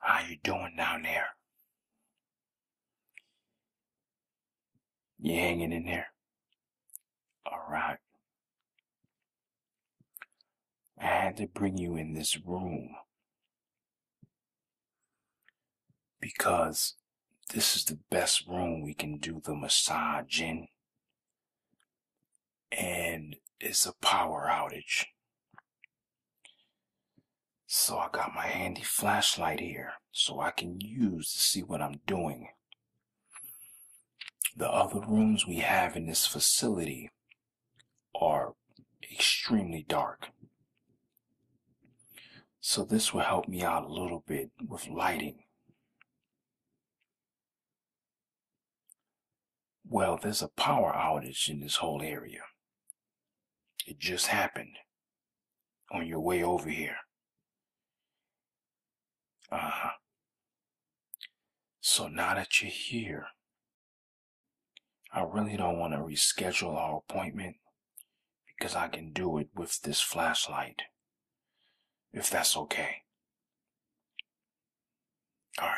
How you doing down there? You hanging in there? All right. I had to bring you in this room because this is the best room we can do the massage in. And it's a power outage. So I got my handy flashlight here so I can use to see what I'm doing. The other rooms we have in this facility are extremely dark. So this will help me out a little bit with lighting well, there's a power outage in this whole area. It just happened on your way over here. Uh So now that you're here, I really don't want to reschedule our appointment because I can do it with this flashlight. If that's okay. Alright.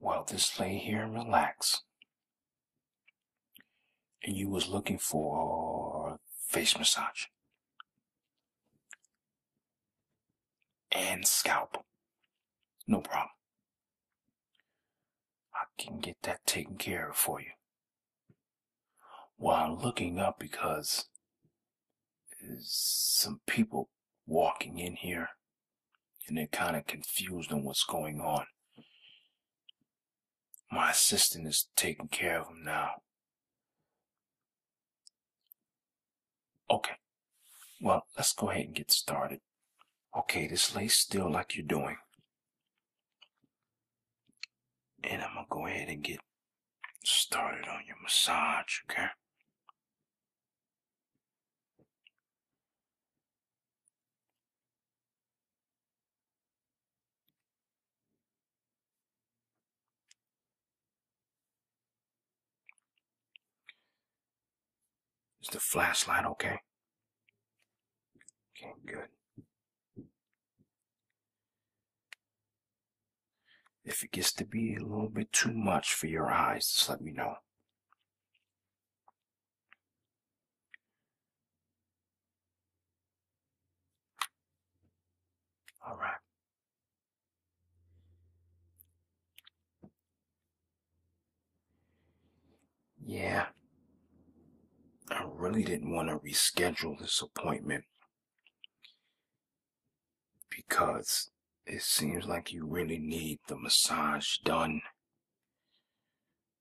Well, just lay here and relax. And you was looking for face massage. And scalp. No problem. I can get that taken care of for you. I'm looking up because there's some people walking in here and they're kind of confused on what's going on. My assistant is taking care of them now. Okay. Well, let's go ahead and get started. Okay, just lay still like you're doing. And I'm going to go ahead and get started on your massage, okay? Is the flashlight okay? Okay, good. If it gets to be a little bit too much for your eyes, just let me know. All right. Yeah. I really didn't want to reschedule this appointment because it seems like you really need the massage done.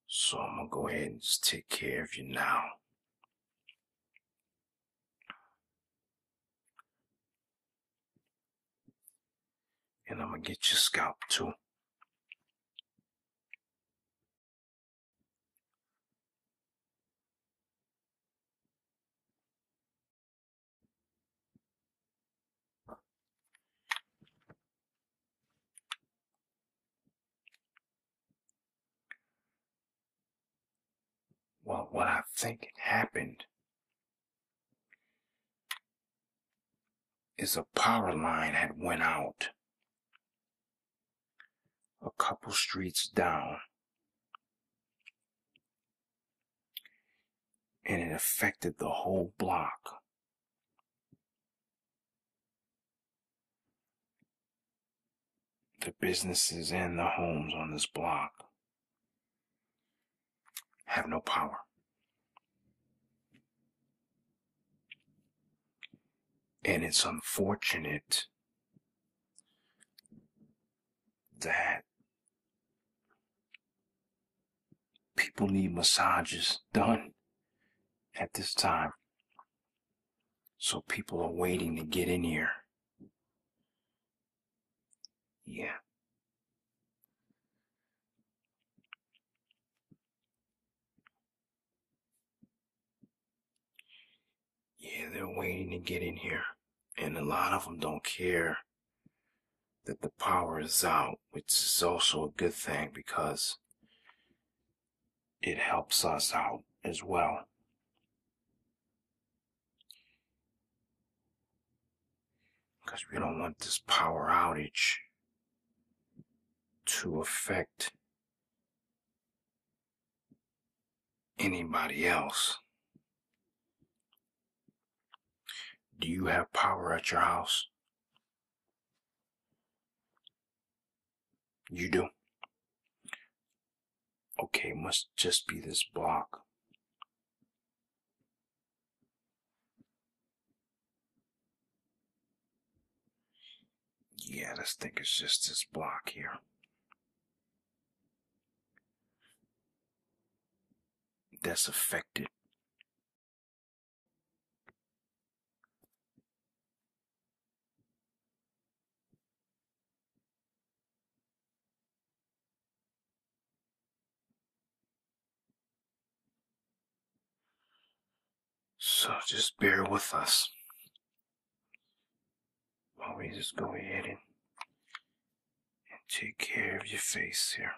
So I'm going to go ahead and take care of you now. And I'm going to get your scalp too. Well, what I think happened is a power line had went out a couple streets down. And it affected the whole block. The businesses and the homes on this block have no power. And it's unfortunate that people need massages done at this time. So people are waiting to get in here. Yeah. Yeah, they're waiting to get in here. And a lot of them don't care that the power is out, which is also a good thing because it helps us out as well because we don't want this power outage to affect anybody else. Do you have power at your house? You do. Okay, must just be this block. Yeah, this thing is just this block here. That's affected. So just bear with us while we just go ahead and, and take care of your face here.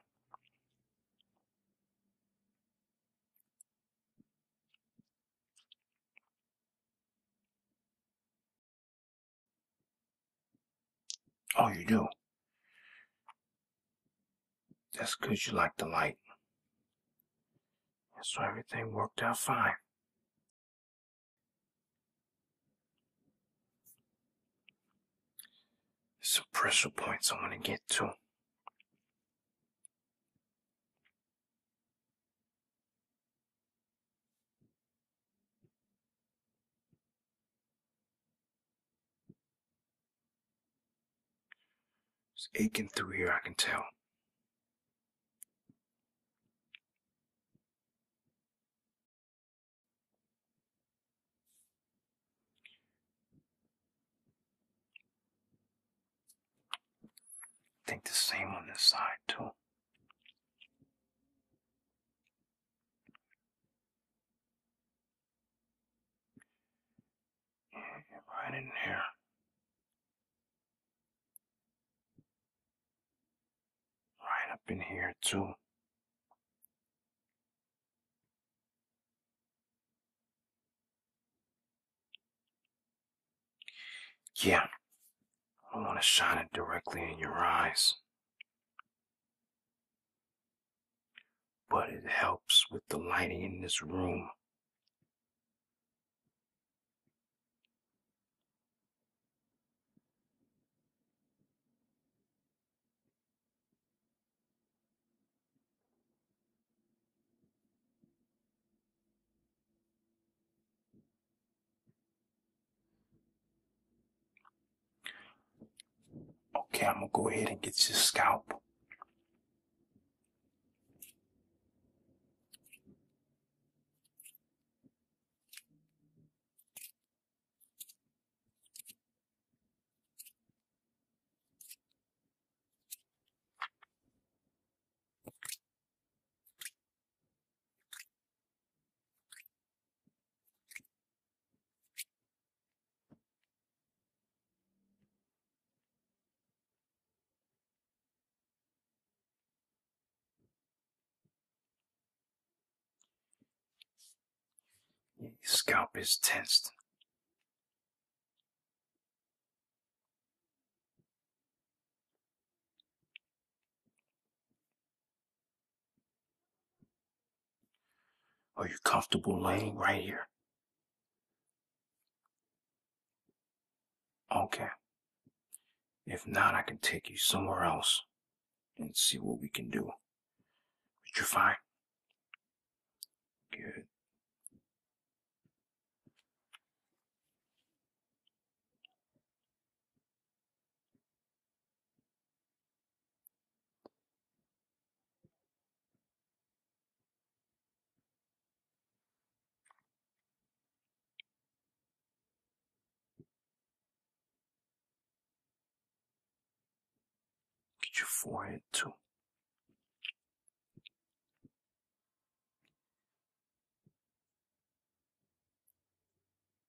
Oh, you do? That's because you like the light. That's why everything worked out fine. some pressure points I want to get to. It's aching through here, I can tell. I think the same on this side too right in there. Right up in here, too. Yeah, I want to shine it directly in your eyes but it helps with the lighting in this room. Okay, I'm gonna go ahead and get your scalp. Your scalp is tensed. Are you comfortable laying right here? Okay. If not, I can take you somewhere else and see what we can do. But you're fine. Good. Get your forehead too.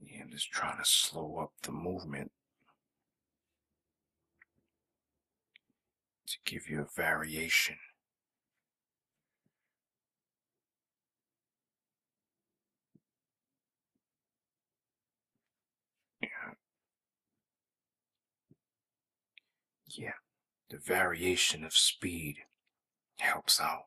Yeah, I'm just trying to slow up the movement to give you a variation. Yeah. the variation of speed helps out.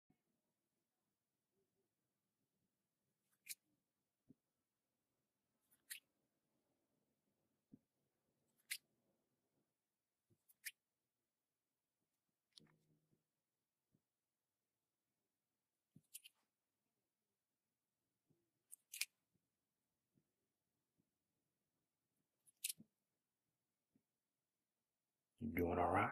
You doing all right?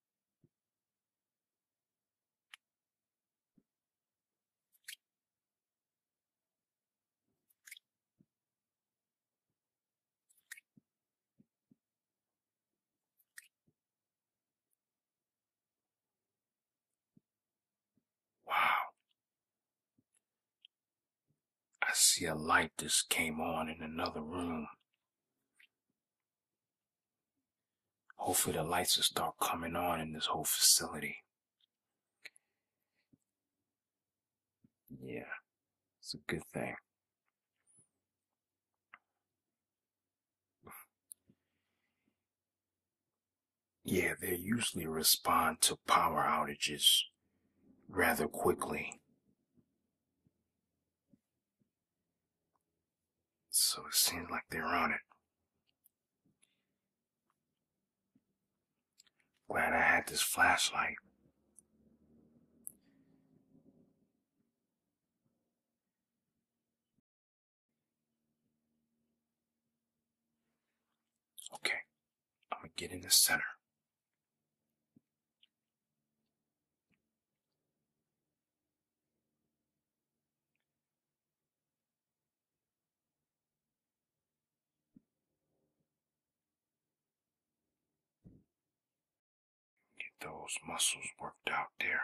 Wow. I see a light just came on in another room. Hopefully, the lights will start coming on in this whole facility. Yeah, it's a good thing. Yeah, they usually respond to power outages rather quickly. So it seems like they're on it. Glad I had this flashlight. Okay, I'm gonna get in the center. Get those muscles worked out there.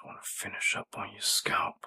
I want to finish up on your scalp.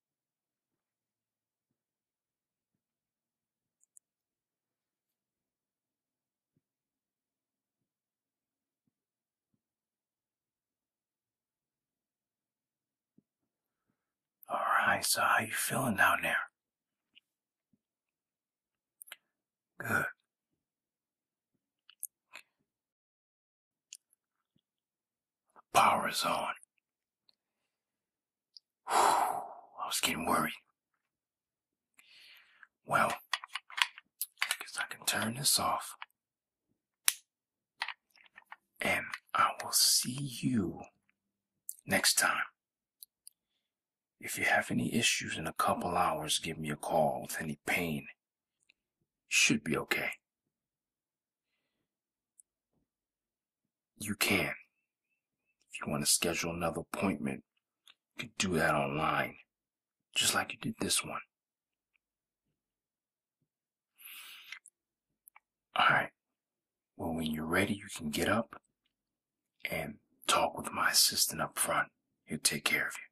All right, so how you feeling down there? Good. The power is on. I was getting worried. Well, I guess I can turn this off. And I will see you next time. If you have any issues in a couple hours, give me a call with any pain. should be okay. You can. If you want to schedule another appointment, you can do that online, just like you did this one. All right. Well, when you're ready, you can get up and talk with my assistant up front. He'll take care of you.